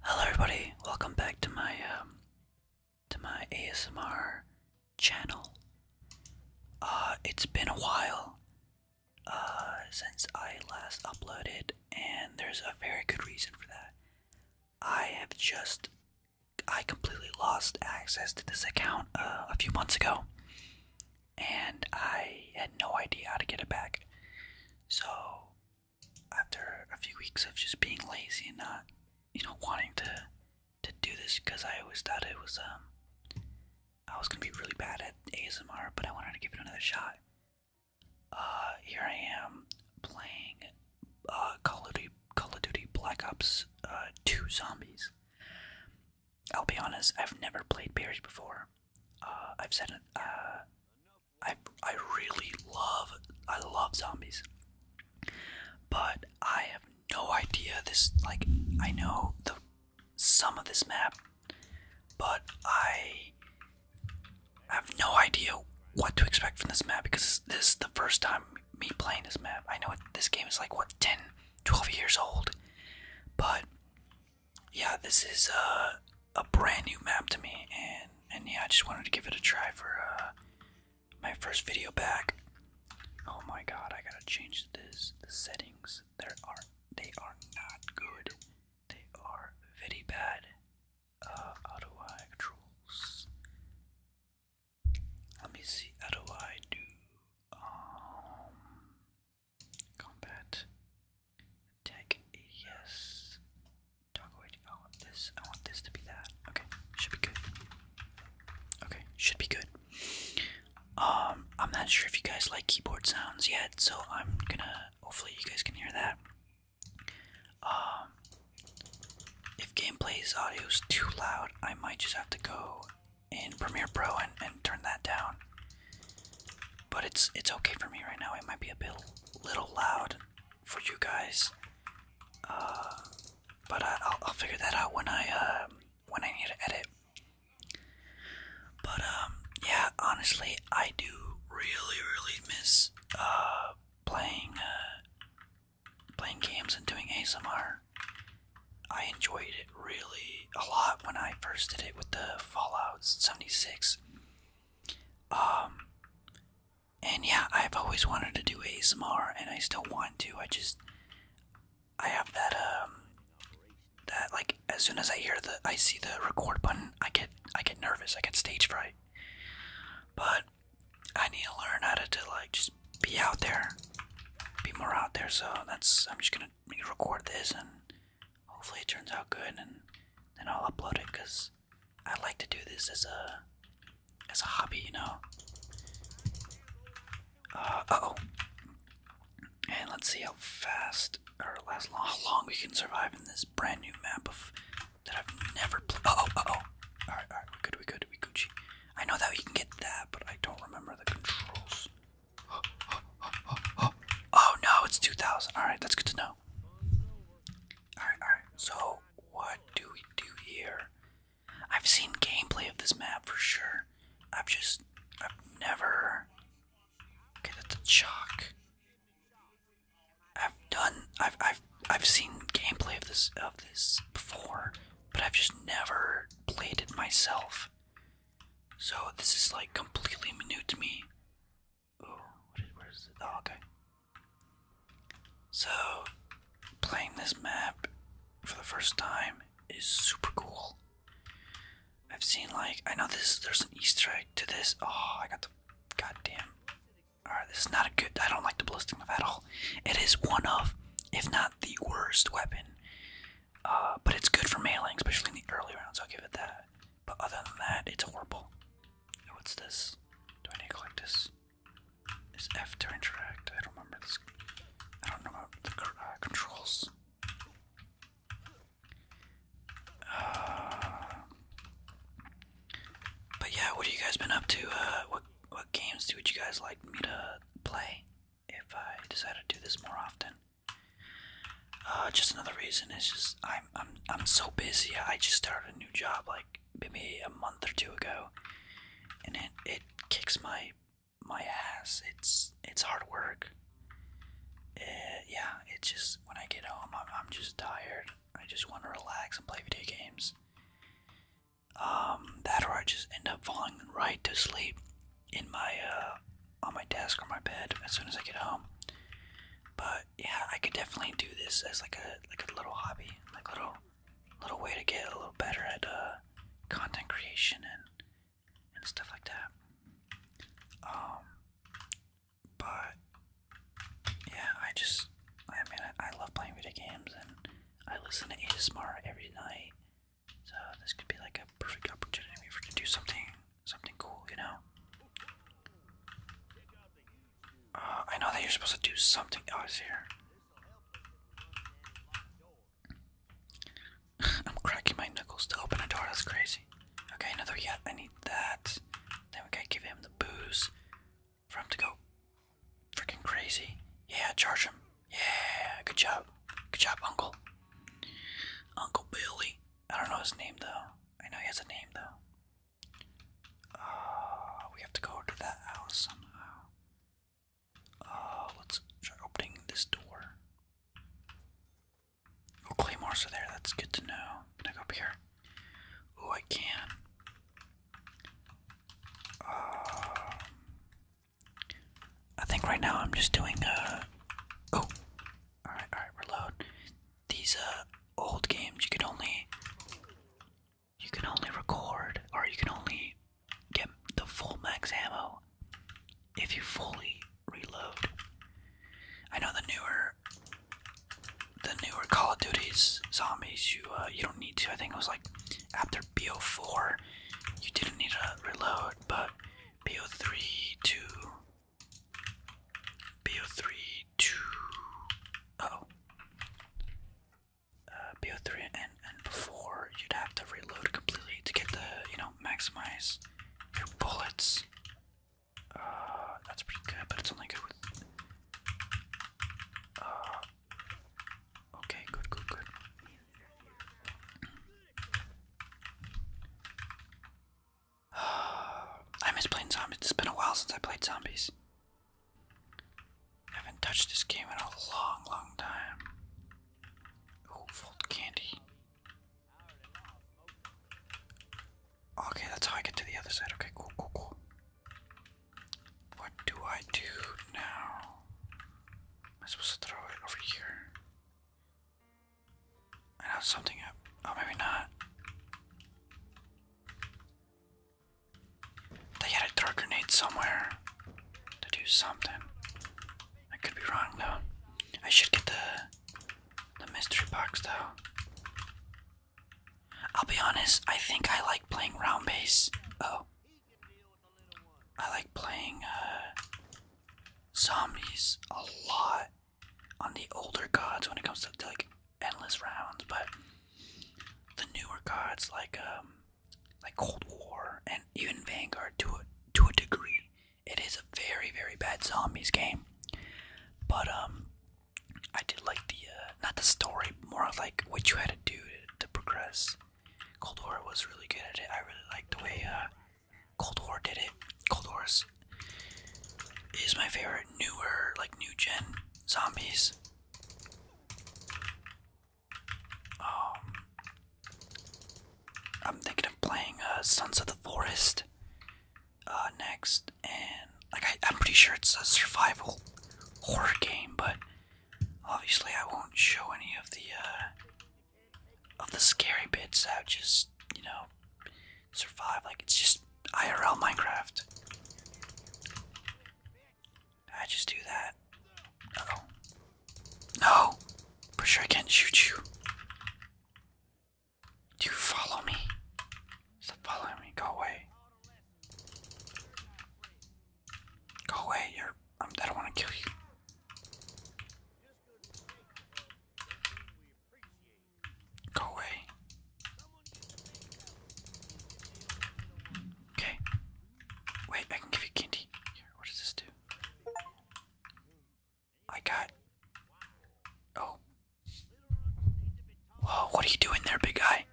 Hello, everybody. Welcome back to my um, to my ASMR channel. Uh, it's been a while uh, since I last uploaded, and there's a very good reason for that. I have just I completely lost access to this account uh, a few months ago and I had no idea how to get it back. So, after a few weeks of just being lazy and not, you know, wanting to to do this, because I always thought it was um, I was gonna be really bad at ASMR, but I wanted to give it another shot. Uh, here I am playing uh, Call of Duty, Call of Duty Black Ops uh, Two Zombies. I'll be honest, I've never played Bears before. Uh, I've said it. Uh, I I really love I love zombies, but I have no idea this. Like I know the some of this map, but I have no idea what to expect from this map because this is the first time me playing this map. I know it, this game is like what 10, 12 years old, but yeah, this is uh, a brand new map to me, and and yeah, I just wanted to give it a try for uh, my first video back. Oh my god, I gotta change this. The settings there are they are not good. They are very bad. how do I controls? Let me see. How do I um, do? Combat. Attack. Yes. Toggle wait. I want this. I want this to be that. Okay. Should be good. Okay. Should be good. Um, I'm not sure if you guys like keyboard sounds yet, so I'm gonna. Hopefully, you guys can hear that. Um, if gameplay's audio is too loud, I might just have to go in Premiere Pro and, and turn that down. But it's it's okay for me right now. It might be a bit little loud for you guys. Uh, but I, will I'll figure that out when I um, when I need to edit. But um, yeah, honestly, I do really really miss uh playing uh, playing games and doing ASMR. I enjoyed it really a lot when I first did it with the Fallout 76. Um, and yeah, I've always wanted to do ASMR, and I still want to. I just, I have that um, that like as soon as I hear the, I see the record button, I get, I get nervous. I get stage fright. But I need to learn how to, to like just be out there, be more out there. So that's, I'm just gonna record this and hopefully it turns out good and then I'll upload it because I like to do this as a as a hobby, you know. Uh, oh. And let's see how fast or how long we can survive in this brand new map that I've never played. Uh oh, oh. Alright, alright, we good, we good, we Gucci. I know that we can get that, but I don't remember the controls. Oh no, it's 2000. Alright, that's good to know. Alright, alright. So, what do we do here? I've seen gameplay of this map for sure. I've just. I've never. Okay, that's a chalk. I've done. I've. I've. I've seen gameplay of this of this before, but I've just never played it myself. So this is like completely new to me. Oh, where is it? Oh, okay. So playing this map for the first time is super cool. I've seen like I know this. There's an Easter egg to this. Oh, I got the goddamn. All right, this is not a good. I don't like the blasting of at all. It is one of, if not the worst weapon uh, but it's good for mailing, especially in the early rounds, I'll give it that. But other than that, it's horrible. what's this? Do I need to collect this? Is F to interact? I don't remember this. I don't know about the uh, controls. Uh, but yeah, what have you guys been up to? Uh, what what games do would you guys like me to play if I decide to do this more often? Uh, just another reason is just I'm I'm I'm so busy. I just started a new job like maybe a month or two ago, and it it kicks my my ass. It's it's hard work. Uh, yeah, it's just when I get home, I'm, I'm just tired. I just want to relax and play video games. Um, that or I just end up falling right to sleep in my uh, on my desk or my bed as soon as I get home. But yeah, I could definitely do this as like a like a little hobby, like little little way to get a little better at uh, content creation and and stuff like that. Um but yeah, I just I mean I, I love playing video games and I listen to ASMR every night so this could be like a perfect opportunity for me to do something, something cool, you know. Uh, I know that you're supposed to do something. Oh, it's here. I'm cracking my knuckles to open a door. That's crazy. Okay, another yet. I need that. Then we gotta give him the booze for him to go freaking crazy. Yeah, charge him. Yeah, good job. Good job, Uncle. Uncle Billy. I don't know his name, though. I know he has a name, though. Uh, we have to go to that house somehow. Uh, let's try opening this door. Oh, claymores are there. That's good to know. Can I go up here? Oh, I can. Uh, I think right now I'm just doing uh oh. Alright, alright, reload. These uh old games you could only you can only record or you can only get the full max ammo if you fully reload. I know the newer the newer Call of Duties zombies you uh, you don't need to. I think it was like after BO4, you didn't need to reload, but BO3 two, BO3 to uh BO3 and and before you'd have to reload completely to get the you know maximize your bullets. Uh, that's pretty good, but it's only good with. Uh, okay, good, good, good. I miss playing zombies. It's been a while since I played zombies. I haven't touched this game in a long, long time. Oh, fold candy. Okay, that's how I get to the other side. Okay, cool, cool, cool. What do I do now? i Am supposed to throw it over here? I know something up. Oh, maybe not. They had a throw grenade somewhere to do something. I could be wrong though. I should get the the mystery box though. I'll be honest. I think I like playing round base. Oh, I like playing uh, zombies a lot on the older gods when it comes to, like endless rounds, but the newer gods like um, like Cold War and even Vanguard to a to a degree, it is a very very bad zombies game. But um, I did like the uh, not the story, more like what you had to do to progress. Cold War was really good at it. I really liked the way uh, Cold War did it. Cold War is, my favorite newer, like new gen zombies. Um, I'm thinking of playing uh, Sons of the Forest uh, next, and like I'm pretty sure it's a survival horror game, but Obviously, I won't show any of the uh, of the scary bits. How just you know survive. Like it's just IRL Minecraft. I just do that. Uh oh. No! Pretty sure I can't shoot you. Do you follow me? Stop following me. Go away. Go away, you're. Um, I don't want to kill you. Go away. Okay. Wait, I can give you candy. what does this do? I got. Oh. Whoa, what are you doing there, big guy?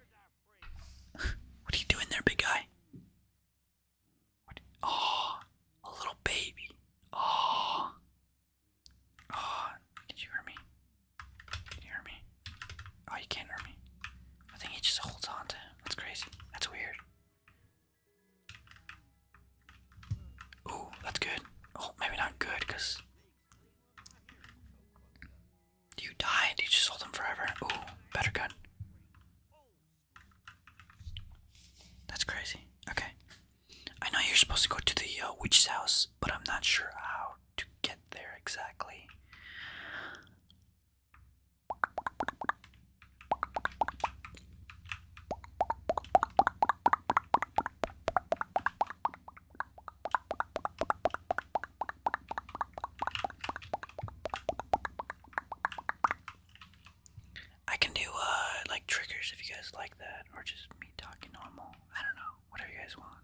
what are you doing there, big guy? What? Oh, a little baby. Oh. Oh, did you hear me? Did you hear me? Oh, you can't hear me. I think he just holds on to him. That's crazy. That's weird. Ooh, that's good. Oh, maybe not good, because do You die? Do You just hold them forever. Ooh, better gun. That's crazy. Okay. I know you're supposed to go to the uh, witch's house, but I'm not sure how to get there exactly. I can do uh, like triggers if you guys like that, or just me talking normal. I don't know, whatever you guys want.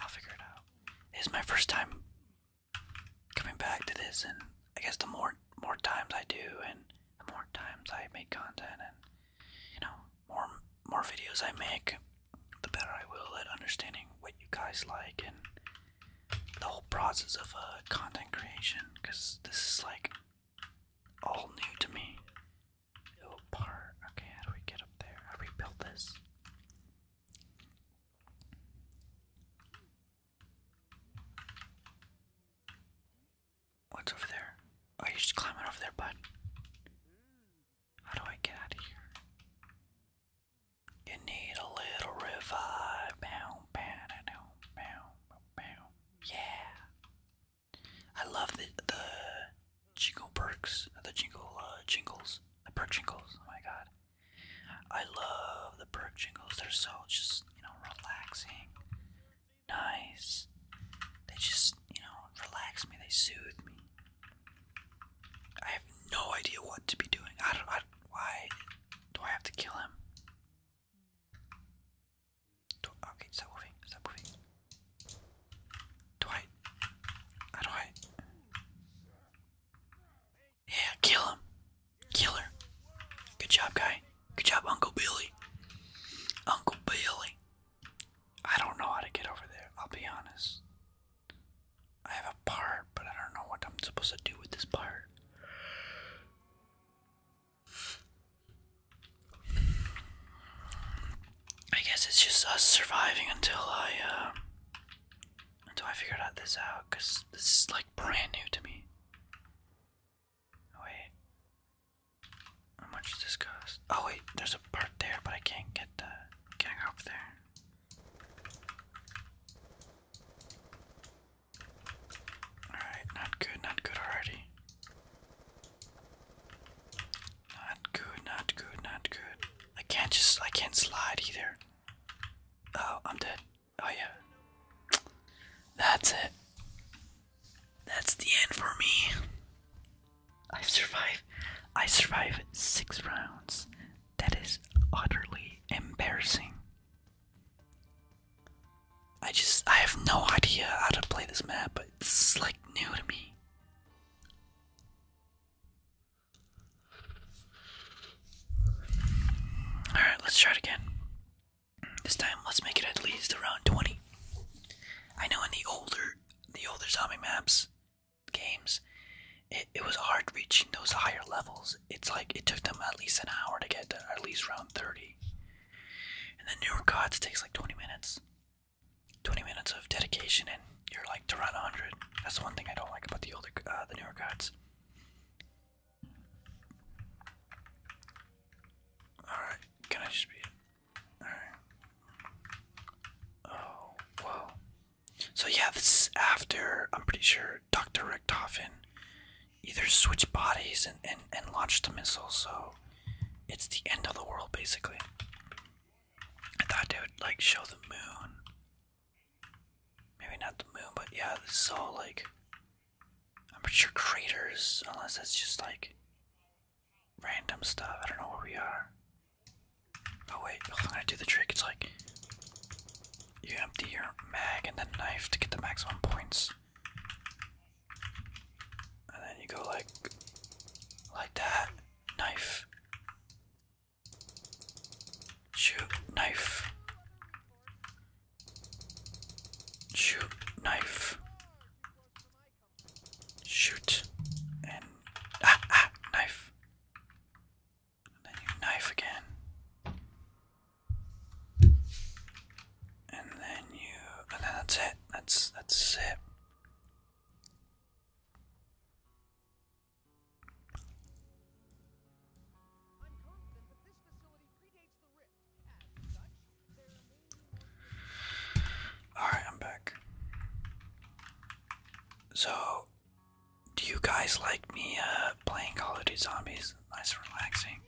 I'll figure it out. It's my first time coming back to this, and I guess the more more times I do, and the more times I make content, and you know, more more videos I make, the better I will at understanding what you guys like and the whole process of uh, content creation because this is like all new to me. Oh, part. Okay, how do we get up there? How do we build this? What's over there? Oh, you're just climbing over there, bud. How do I get out of here? You need a little revive. Yeah. I love the the jingle perks, the jingle uh, jingles, the perk jingles. Oh my god. I love the perk jingles. They're so just you know relaxing, nice. They just you know relax me. They soothe me. I have no idea what to be doing. I don't. I, why do I have to kill him? okay, stop moving. Stop moving. Do I? How do I? Yeah, kill him. Kill her. Good job, guy. Good job, Uncle Billy. Uncle Billy. I don't know how to get over there. I'll be honest. I have a part, but I don't know what I'm supposed to do with this part. I guess it's just us surviving until I uh until I figure out this out cuz this is like brand new to me. Wait. How much does this cost? Oh wait, there's a part there, but I can't get the can't go there. Alright, not good, not good already. Not good, not good, not good. I can't just, I can't slide either. Oh, I'm dead. Oh yeah. That's it. That's the end for me. I survived. I survived six rounds. That is utterly embarrassing. I just, I have no idea how to play this map, but it's like new to me. Alright, let's try it again. This time, let's make it at least around 20. I know in the older, the older zombie maps, games, it, it was hard reaching those higher levels. It's like it took them at least an hour to get to at least round 30. And the newer gods takes like 20 minutes. 20 minutes of dedication and you're like to run 100. That's the one thing I don't like about the older, uh, the newer gods. Alright, can I just be. Alright. Oh, whoa. So yeah, this is after I'm pretty sure Dr. Richtofen either switched bodies and, and, and launched a missile, so it's the end of the world basically. I thought they would like show the moon. Maybe not the moon, but yeah, this is all like I'm pretty sure craters, unless it's just like random stuff. I don't know where we are. Oh wait, I'm gonna do the trick. It's like you empty your mag and the knife to get the maximum points. And then you go like like that. Knife. Shoot knife. Shoot knife shoot and ah ah knife then you knife again and then you and then that's it that's that's it Alright, I'm back. So, do you guys like me uh, playing Call of Duty Zombies? Nice and relaxing.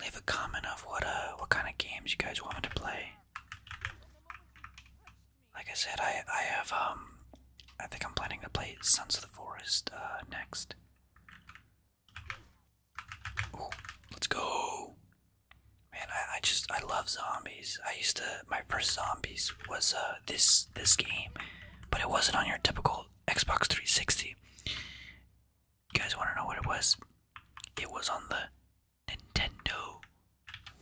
Leave a comment of what uh what kind of games you guys want me to play. Like I said, I I have um I think I'm planning to play Sons of the Forest uh, next. let's go. Man, I, I just I love zombies. I used to my first zombies was uh this this game, but it wasn't on your typical Xbox 360. You guys want to know what it was? It was on the Nintendo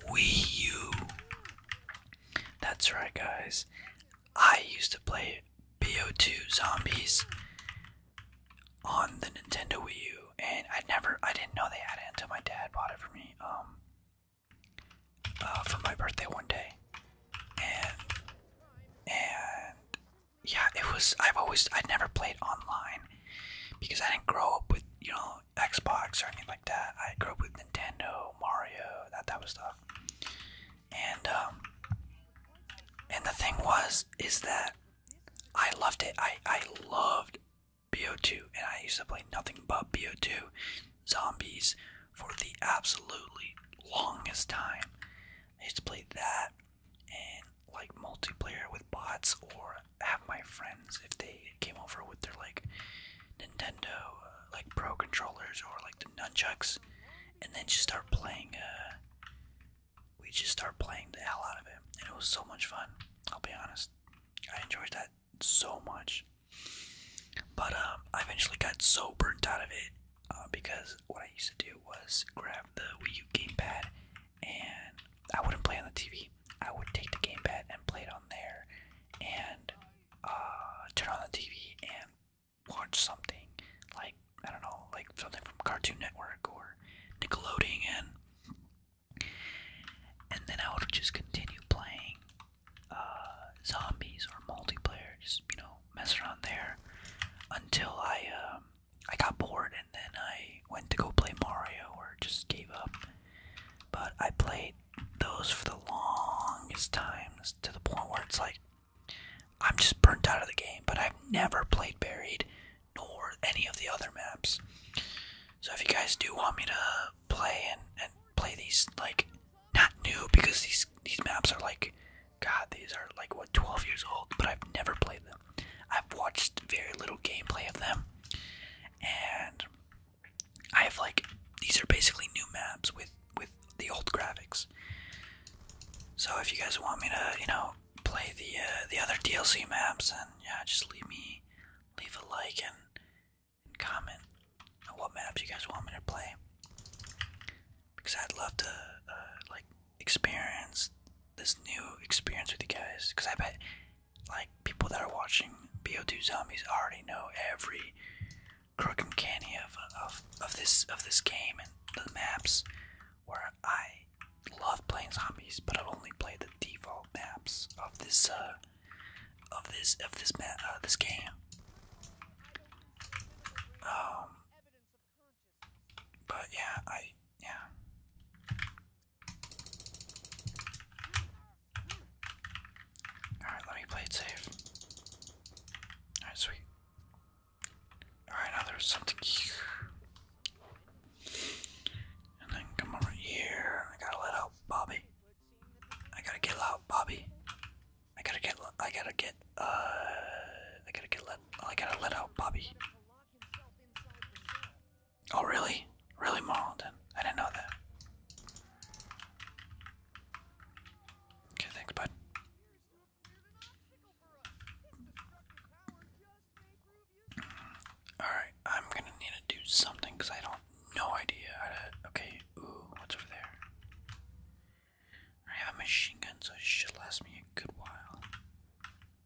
Wii U. That's right, guys. I used to play BO2 Zombies on the Nintendo Wii U, and I never, I didn't know they had it until my dad bought it for me, um, uh, for my birthday one day, and and yeah, it was. I've always, I'd never played online because I didn't grow up with you know Xbox or anything like that. I grew up with Nintendo, Mario, that that was stuff, and um, and the thing was is that I loved it. I I loved BO2, and I used to play nothing but BO2 zombies for the absolutely longest time. I used to play that and like multiplayer with bots or have my friends if they came over with their like Nintendo uh, like pro controllers or like the nunchucks and then just start playing uh we just started playing the hell out of it, and it was so much fun. I'll be honest, I enjoyed that so much. But um, I eventually got so burnt out of it uh, because what I used to do was grab the Wii U gamepad, and I wouldn't play on the TV. I would take the gamepad and play it on there, and uh, turn on the TV and watch something like I don't know, like something from Cartoon Network or Nickelodeon, and and then I would just continue playing uh, zombies or multiplayer, just you know, mess around there until I um, I got bored, and then I went to go play Mario or just gave up. But I played those for the longest times to the point where it's like I'm just burnt out of the game. But I've never played Buried, nor any of the other maps. So if you guys do want me to play and, play these like not new because these these maps are like god these are like what 12 years old but I've never played them. I've watched very little gameplay of them and I have like these are basically new maps with with the old graphics. So if you guys want me to, you know, play the uh, the other DLC maps, and yeah, just leave me leave a like and, and comment on what maps you guys want me to play, because I'd love to uh, like experience this new experience with you guys. Because I bet like people that are watching BO2 Zombies already know every crook and canny of of of this of this game and the maps where I love playing zombies, but I've only played the default maps of this uh, of this of this uh, this game. Um, but yeah, I yeah. Alright, let me play it safe. Alright, sweet. Alright, now there's something here. And then come over here. I gotta let out Bobby. I gotta get loud, Bobby. I gotta get. I gotta get. Uh. I gotta get let. Oh, I gotta let out Bobby. Oh really? Really, Marlton? I didn't know that. Okay, thanks, bud. Alright, I'm gonna need to do something because I don't no idea how to. Okay, ooh, what's over there? I have a machine gun, so it should last me a good while.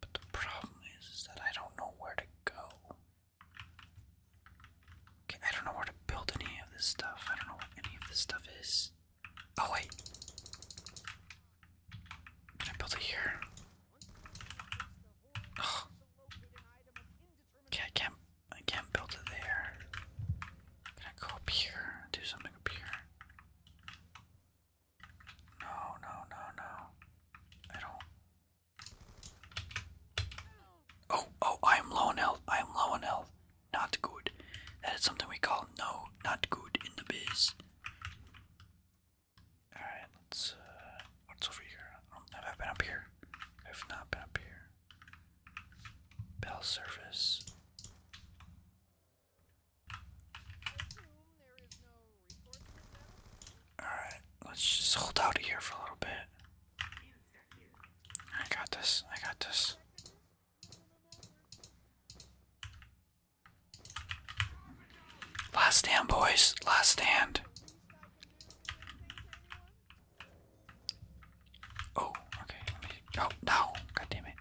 But the problem is that I don't know where to go. Okay, I don't know where to build any of this stuff. I don't know what any of this stuff is. Oh, wait. Can I build it here? Okay, I can't I can't build it there. Can I go up here? Do something up here. No, no, no, no. I don't. Oh, oh, I am low on health. I am low on health. Not good. That is something we call no, not good in the biz. All right, let's. Uh, what's over here? Um, have I been up here? I've not been up here. Bell service. All right, let's just hold out of here for a little bit. I got this. I got this. Last stand, boys. Last stand. Oh, okay. Oh, no. God damn it.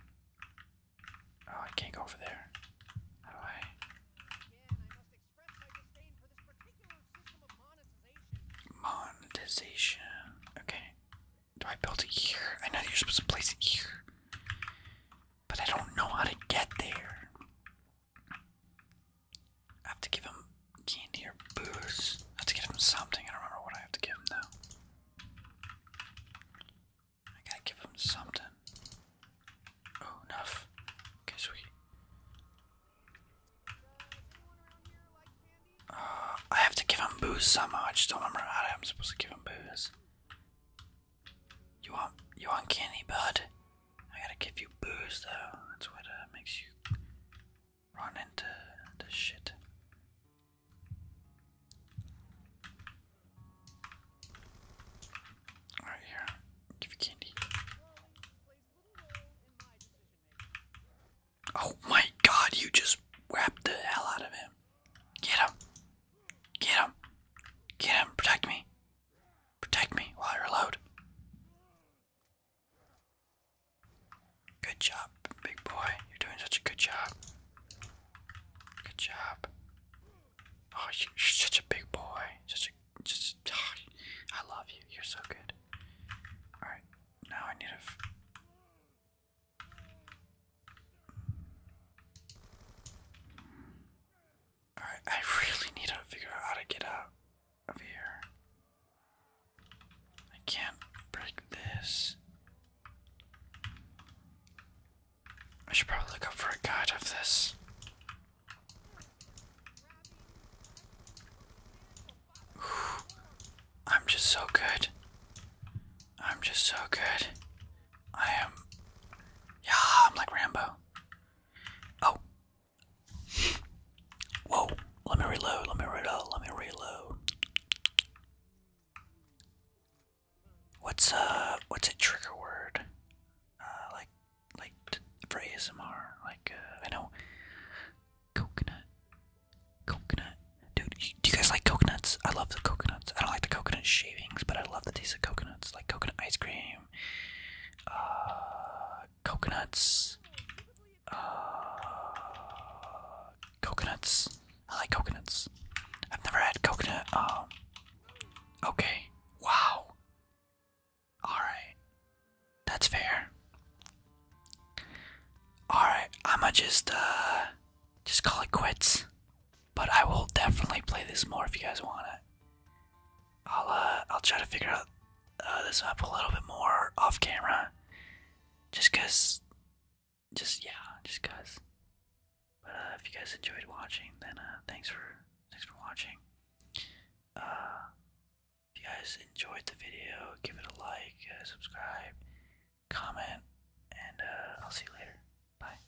Oh, I can't go over there. How do I? Monetization. Okay. Do I build it here? I know you're supposed to place it here. But I don't know how to get there. I have to give him candy or booze. I have to give him something. I don't remember what I have to give him now. I gotta give him something. Oh, enough. Okay, sweet. Uh, I have to give him booze somehow. I just don't remember how I'm supposed to give him booze. You want you want candy, bud? I gotta give you booze though. That's what uh, makes you run into the shit. All right, here. Give you candy. Oh my God! You just whapped the hell out of him. Get him. Get him. Get him. Protect me. Protect me while I reload. Good job, big boy. You're doing such a good job. Good job. Oh, you're such a big boy. Such just. Ah, I love you. You're so good. All right, now I need to. Alright, I really need to figure out how to get out of here. I can't break this. I should probably look up for a guide of this. I'm just so good. I'm just so good. I am. Yeah, I'm like Rambo. Oh. Whoa. Let me reload. Let me reload. Let me reload. What's uh? What's a trigger word? Uh, like, like for ASMR. Like, uh, I know. Coconut. Coconut. Dude, do you guys like coconuts? I love the coconuts. I don't like the coconut shavings, but I love the taste of coconuts. Like coconut ice cream, uh, coconuts, uh, coconuts. I like coconuts. I've never had coconut. Um, okay. Wow. Alright. That's fair. Alright, I'ma just, uh, just call it quits. But I will definitely play this more if you guys want it. I'll uh, I'll try to figure out uh, this up a little bit more off camera. Just cause, just yeah, just cause. But uh, if you guys enjoyed watching, then uh, thanks for thanks for watching. Uh, if you guys enjoyed the video, give it a like, uh, subscribe, comment, and uh, I'll see you later. Bye.